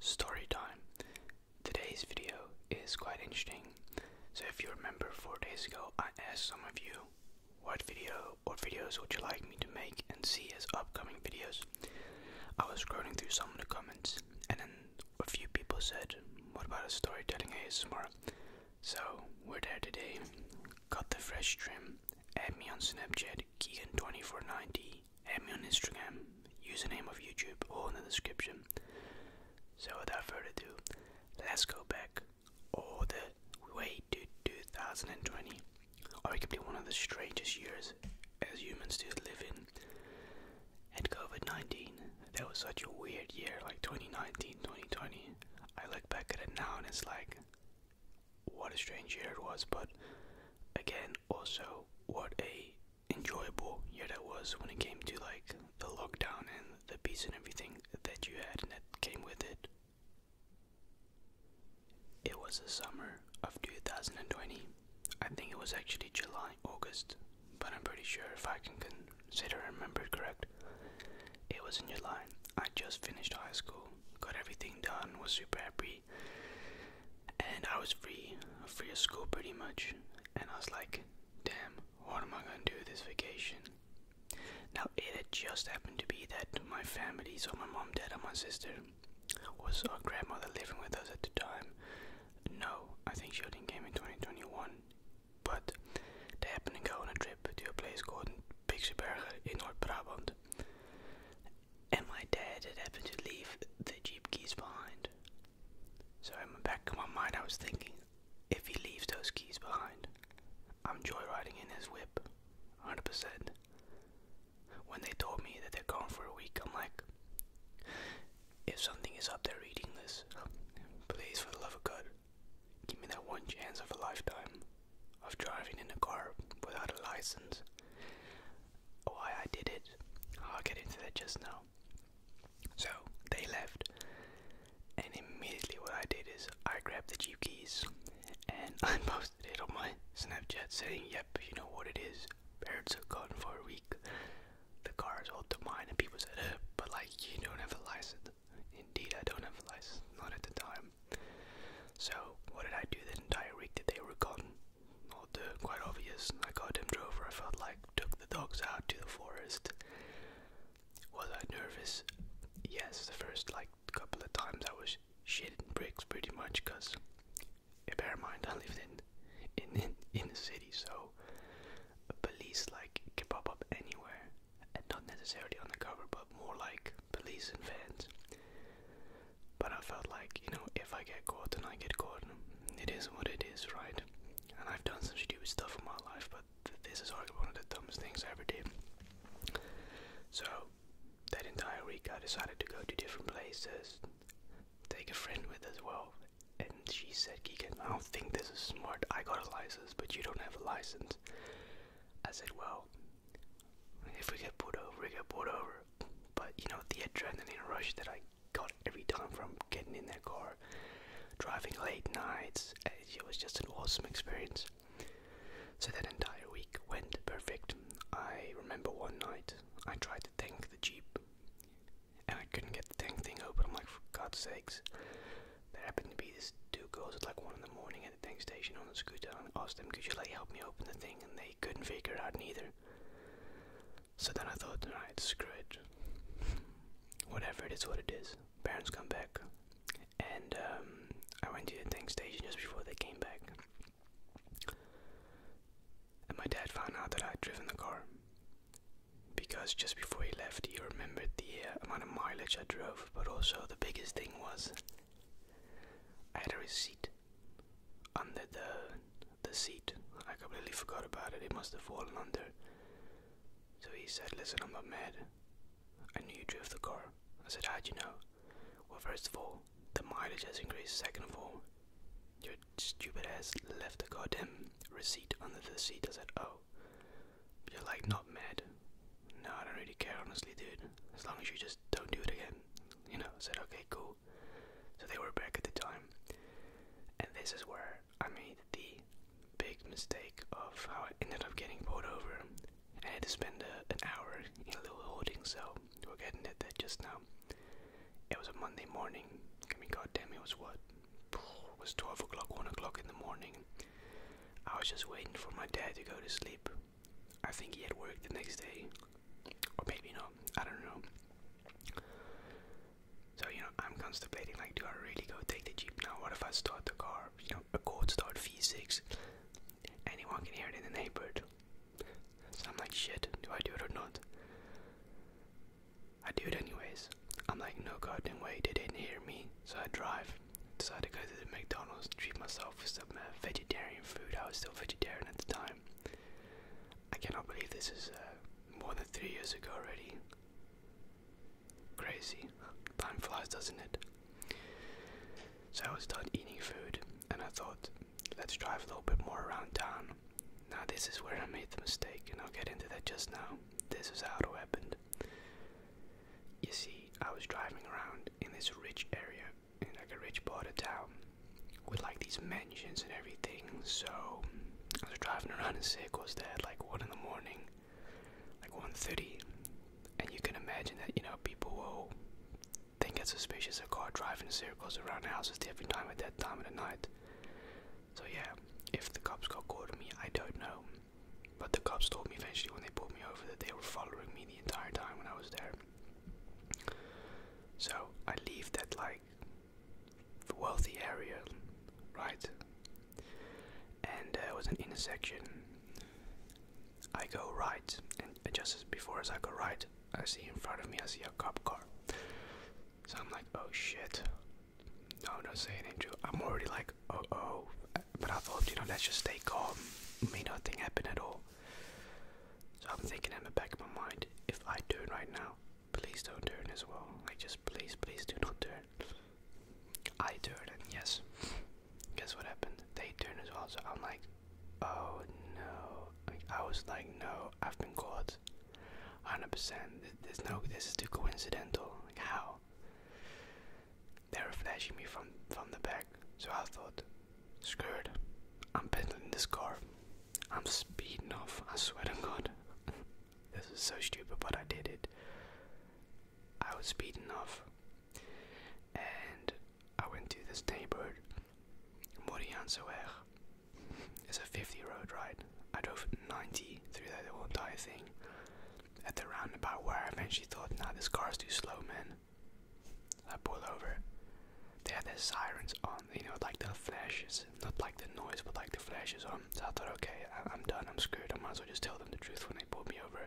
Story time. Today's video is quite interesting. So, if you remember, four days ago, I asked some of you what video or videos would you like me to make and see as upcoming videos. I was scrolling through some of the comments, and then a few people said, What about a storytelling ASMR? So, we're there today. Got the fresh trim. Add me on Snapchat, Keegan2490, Add me on Instagram, username of YouTube, all in the description. So without further ado, let's go back all the way to 2020, arguably one of the strangest years as humans do live in. And COVID 19, that was such a weird year, like 2019, 2020. I look back at it now and it's like, what a strange year it was, but again, also, what a enjoyable yet it was when it came to like the lockdown and the peace and everything that you had and that came with it. It was the summer of 2020. I think it was actually July, August, but I'm pretty sure if I can consider and remember it correct. It was in July. I just finished high school, got everything done, was super happy and I was free, free of school pretty much. And I was like, damn, what am I gonna do this vacation? Now, it had just happened to be that my family, so my mom, dad, and my sister, was our grandmother living with us at the time. No, I think she only came in 2021. But they happened to go on a trip to a place called Pixiebergen in Noord Brabant and my dad had happened to leave the Jeep keys behind. So, in my back of my mind, I was thinking if he leaves those keys behind, I'm joyriding in his whip, 100%. When they told me that they're gone for a week, I'm like, if something is up there reading this, please, for the love of God, give me that one chance of a lifetime of driving in a car without a license why I did it. I'll get into that just now. So they left, and immediately what I did is I grabbed the Jeep keys and I posted it on my Snapchat saying, Yep, you know what it is. Parents are gone for a week. The car is all to mine, and people said, uh, But like, you don't have a license. Indeed, I don't have a license, not at the time. So, what did I do the entire week that they were gone? quite obvious. I got him drove I felt like, took the dogs out to the forest. Was I nervous? Yes, the first like couple of times I was shitting bricks pretty much because, bear in mind, I lived in, in, in, in the city, so police like can pop up anywhere and not necessarily undercover, but more like police and vans. But I felt like, you know, if I get caught and I get caught, it is what it is, right? And I've done some stupid stuff in my life, but th this is arguably one of the dumbest things I ever did. So, that entire week I decided to go to different places, take a friend with as well. And she said, Keegan, I don't think this is smart. I got a license, but you don't have a license. I said, well, if we get pulled over, we get pulled over. But you know, the adrenaline rush that I got every time from getting in their car, driving late nights. Eh, it was just an awesome experience. So that entire week went perfect. I remember one night I tried to tank the Jeep and I couldn't get the tank thing open. I'm like, "God sakes. There happened to be these two girls at like 1 in the morning at the tank station on a scooter and asked them, could you like help me open the thing? And they couldn't figure it out neither. So then I thought, alright, screw it. Whatever it is, what it is. Parents come back, and um, I went to the tank station just before they came back. And my dad found out that I'd driven the car because just before he left, he remembered the uh, amount of mileage I drove, but also the biggest thing was I had a receipt under the the seat. I completely forgot about it. It must have fallen under. So he said, Listen, I'm not mad. I knew you drove the car. I said, How'd you know? Well, first of all, the mileage has increased. Second of all, your stupid ass left a goddamn receipt under the seat. I said, Oh. you're like, not mad. No, I don't really care, honestly, dude. As long as you just don't do it again. You know, I said, Okay, cool. So they were back at the time. And this is where I made the big mistake of how I ended up getting pulled over. And I had to spend an hour in a little holding cell. We're getting at that just now. It was a Monday morning. I mean, goddamn, it was what? It was 12 o'clock, 1 o'clock in the morning. I was just waiting for my dad to go to sleep. I think he had work the next day. Or maybe not, I don't know. So, you know, I'm contemplating like, do I really go take the Jeep now? What if I start the car? You know, a cold start V6. Anyone can hear it in the neighborhood. So I'm like, shit, do I do it or not? I do it anyways. I'm like, no goddamn way, they didn't hear me. So I drive. Decided to go to the McDonald's, treat myself with some uh, vegetarian food. I was still vegetarian at the time. I cannot believe this is uh, more than three years ago already. Crazy. Time flies, doesn't it? So I was done eating food and I thought, let's drive a little bit more around town. Now, this is where I made the mistake, and I'll get into that just now. This is how it happened. You see, I was driving around in this rich area, in like a rich part of town, with like these mansions and everything. So I was driving around in circles there at like one in the morning, like 1:30, and you can imagine that you know people will think it's suspicious a car driving in circles around houses every time at that time of the night. So yeah, if the cops got caught of me, I don't know. But the cops told me eventually when they pulled me over that they were following me the entire time when I was there. So I leave that like the wealthy area, right? And uh, there was an intersection. I go right, and just as before as I go right, I see in front of me, I see a cop car. So I'm like, oh shit. No, I'm not saying anything. I'm already like, oh oh. But I thought, you know, let's just stay calm. May nothing happen at all. So I'm thinking in the back of my mind, if I do it right now, Please don't turn as well. I just please, please do not turn. I turned and yes. Guess what happened? They turned as well, so I'm like, oh no. I was like, no, I've been caught. 100%. There's no, this is too coincidental. how? They were flashing me from from the back, so I thought, screwed. I'm peddling this car. I'm speeding off, I swear to God. this is so stupid, but I did it. I was speeding off, and I went to this neighborhood, Moriansoer. It's a 50 road, ride. I drove 90 through that whole entire thing. At the roundabout where I eventually thought, nah, this car's too slow, man. I pulled over. They had their sirens on, you know, like the flashes, not like the noise, but like the flashes on. So I thought, okay, I am done, I'm screwed. I might as well just tell them the truth when they pulled me over.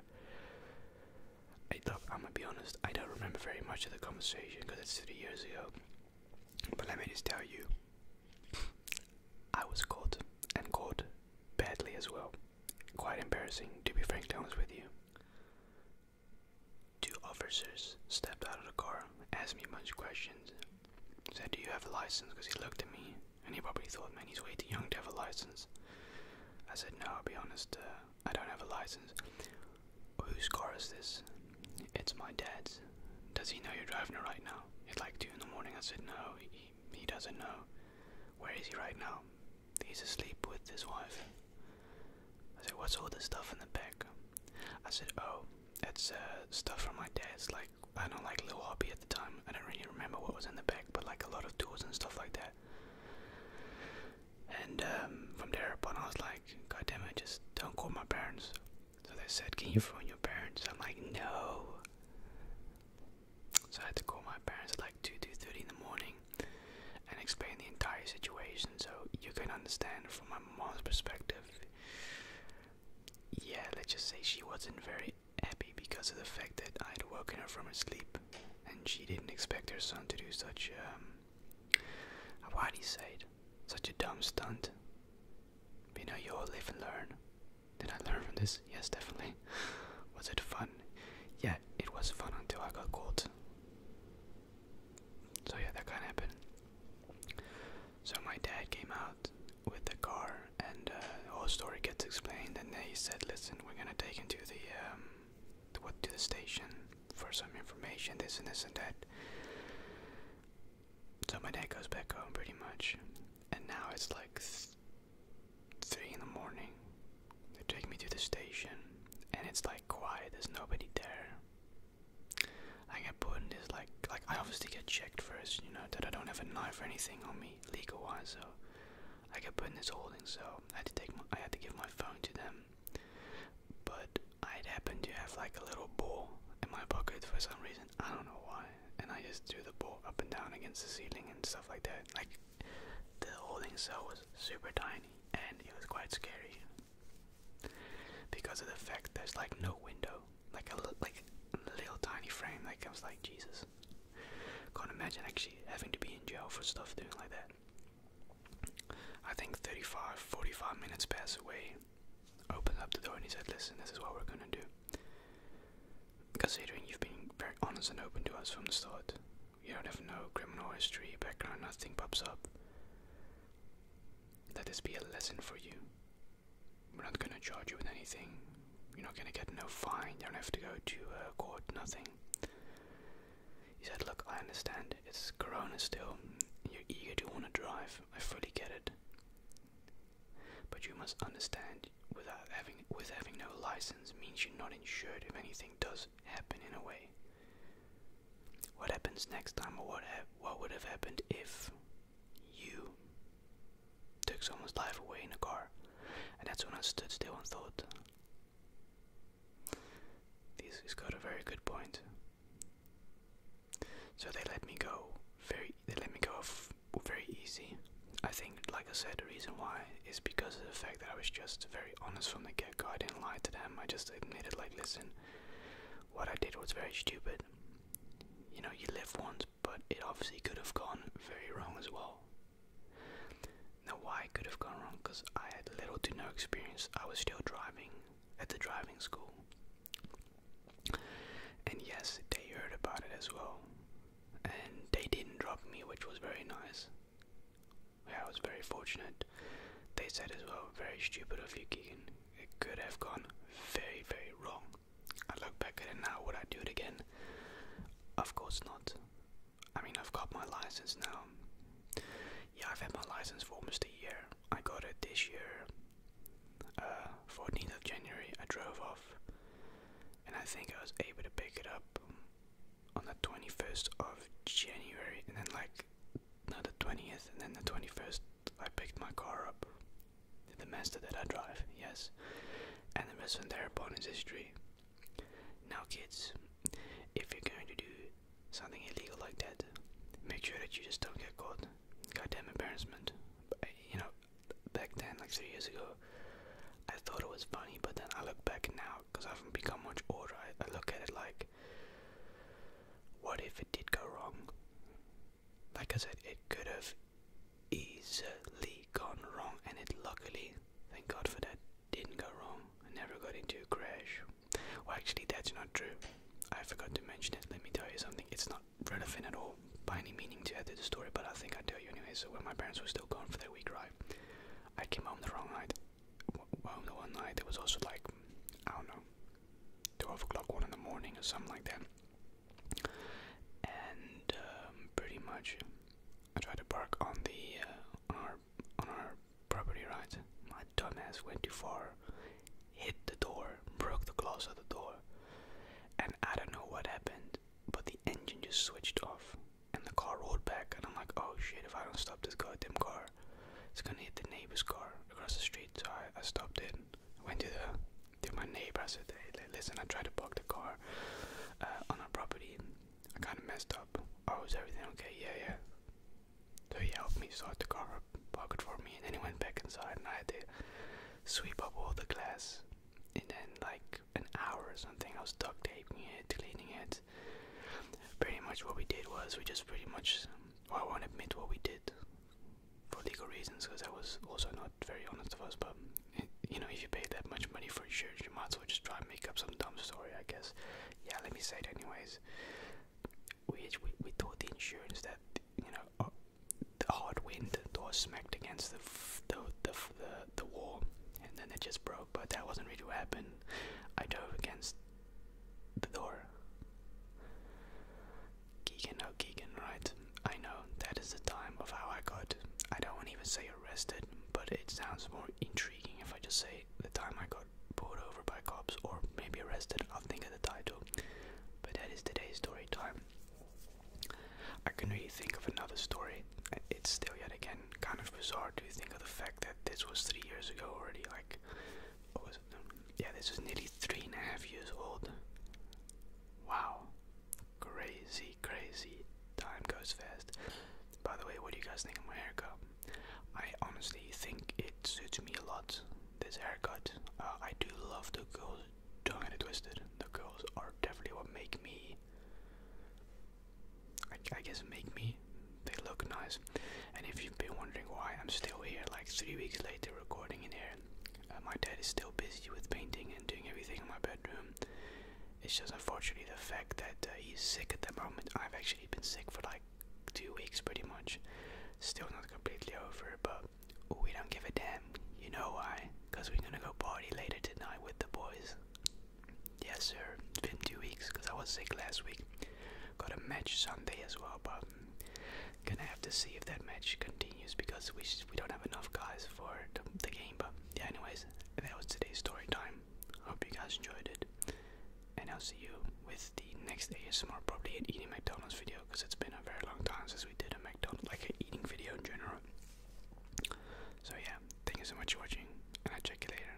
I, am gonna be honest, I don't remember very much of the conversation because it's three years ago. But let me just tell you, I was caught and caught badly as well. Quite embarrassing, to be frank. frankly honest with you. Two officers stepped out of the car, asked me a bunch of questions, said, Do you have a license? Because he looked at me and he probably thought, Man, he's way too young to have a license. I said, No, I'll be honest, uh, I don't have a license. Whose car is this? It's my dad's. Does he know you're driving it right now? It's like 2 in the morning. I said, No, he, he doesn't know. Where is he right now? He's asleep with his wife. I said, What's all this stuff in the back? I said, Oh, it's uh, stuff from my dad's, like, I don't like little hobby at the time. I don't really remember what was in the bag, but like a lot of tools and stuff like that. And um, from there upon, I was like, God damn it, just don't call my parents. So they said, Can you phone your parents? I'm like, No. So I had to call my parents at like 2 2.30 in the morning and explain the entire situation so you can understand from my mom's perspective yeah, let's just say she wasn't very happy because of the fact that I'd woken her from her sleep, and she didn't expect her son to do such, um, what he said, such a dumb stunt. But you know, you all live and learn. Did I learn from this? Yes, definitely. Was it fun? Yeah, it was fun until I got caught. So yeah, that kind of happened. So my dad came out with the car, and uh, the whole story gets explained. And they said, "Listen, we're gonna take him to the um, what, to the station for some information, this and this and that." So my dad goes back home pretty much, and now it's like three in the morning. They take me to the station, and it's like quiet. There's nobody there. I get put in this like like I obviously get checked first, you know, that I don't have a knife or anything on me legal wise, so I get put in this holding cell. I had to take my I had to give my phone to them. But I'd happen to have like a little ball in my pocket for some reason. I don't know why. And I just threw the ball up and down against the ceiling and stuff like that. Like the holding cell was super tiny and it was quite scary because of the fact there's like no window, like a like a little tiny frame. that comes like Jesus, can't imagine actually having to be in jail for stuff doing like that. I think 35, 45 minutes pass away. Opened up the door and he said, "Listen, this is what we're gonna do." Considering you've been very honest and open to us from the start, you don't have no criminal history, background, nothing pops up. Let this be a lesson for you we're not gonna charge you with anything. You're not gonna get no fine. You don't have to go to uh, court. Nothing." He said, "Look, I understand. It's Corona still. You're eager to want to drive. I fully get it. But you must understand." Without having, with having no license means you're not insured if anything does happen in a way. What happens next time, or what what would have happened if you took someone's life away in a car, and that's when I stood still and thought, this has got a very good point. So they let me go very, they let me go off very easy. I think, like I said, the reason why is because of the fact that I was just very honest from the get go. I didn't lie to them, I just admitted, like, listen, what I did was very stupid. You know, you live once, but it obviously could have gone very wrong as well. Now, why it could have gone wrong? Because I had little to no experience. I was still driving at the driving school. And yes, they heard about it as well. And they didn't drop me, which was very nice. I was very fortunate. They said as well, very stupid of you, Keegan it could have gone very, very wrong. I look back at it now, would I do it again? Of course not. I mean, I've got my license now. Yeah, I've had my license for almost a year. I got it this year, uh, 14th of January. I drove off, and I think I was able to pick it up on the 21st of January, and then like no, the twentieth, and then the twenty-first, I picked my car up. The master that I drive, yes, and the rest from there upon is history. Now, kids, if you're going to do something illegal like that, make sure that you just don't get caught. Goddamn embarrassment. But, uh, you know, back then, like three years ago, I thought it was funny, but then I look back now because I haven't become much older. I look at it like, what if it did go wrong? like I said, it could have easily gone wrong, and it luckily, thank God for that, didn't go wrong. I never got into a crash. Well, actually, that's not true. I forgot to mention it. Let me tell you something. It's not relevant at all by any meaning to add to the story, but I think I'll tell you anyway. So, when my parents were still gone for their week drive, I came home the wrong night. Well, the one night, it was also like, I don't know, 12 o'clock, 1 in the morning, or something like that. And um, pretty much, I tried to park on the uh, on our on our property, right? My dumbass went too far, hit the door, broke the glass of the door, and I don't know what happened, but the engine just switched off, and the car rolled back, and I'm like, oh shit! If I don't stop this goddamn car, it's gonna hit the neighbor's car across the street. So I, I stopped it went to the to my neighbor. I said, hey, listen, I tried to park the car uh, on our property. I kind of messed up. Oh, was everything okay? Yeah, yeah. So he helped me start the car up, park it for me, and then he went back inside, and I had to sweep up all the glass. And then, like an hour or something, I was duct taping it, cleaning it. Pretty much what we did was we just pretty much, I won't admit what we did for legal reasons because I was also not very honest of us. But you know, if you pay that much money for insurance, you might as well just try and make up some dumb story, I guess. Yeah, let me say it anyways. We we, we the insurance that you know uh, the hard wind door smacked against the the, the the the wall, and then it just broke. But that wasn't really what happened. I drove against the door. Keegan O'Keegan, oh, right? I know, that is the time of how I got, I don't even say arrested, but it sounds more intriguing if I just say the time I got pulled over by cops or maybe arrested, I'll think of the title. But that is today's story time. I can not really think of another story. It's still yet again kind of bizarre to think of the fact that this was three years ago already, like, what was? Yeah, this was nearly three and a half years old. Wow. Crazy, crazy. Time goes fast. By the way, what do you guys think of my haircut? I honestly think it suits me a lot. This haircut. Uh, I do love the girls. Don't get it twisted. The girls are definitely what make me. I guess make me. They look nice. And if you've been wondering why I'm still here, like three weeks later, recording in here, uh, my dad is still busy with painting and doing everything in my bedroom. It's just unfortunately the fact that uh, he's sick at the moment. I've actually been sick for like two weeks pretty much. Still not completely over, but we don't give a damn. You know why? Because we're gonna go party later tonight with the boys. Yes, sir. It's been two weeks because I was sick last week. Got a match Sunday as well, but gonna have to see if that match continues because we we don't have enough guys for the, game. But yeah, anyways, that was today's story time. Hope you guys enjoyed it, and I'll see you with the next ASMR, probably an eating McDonald's video because it's been a very long time since we did a McDonald's like eating video in general. So yeah, thank you so much for watching, and I'll check you later.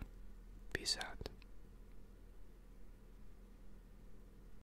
Peace out.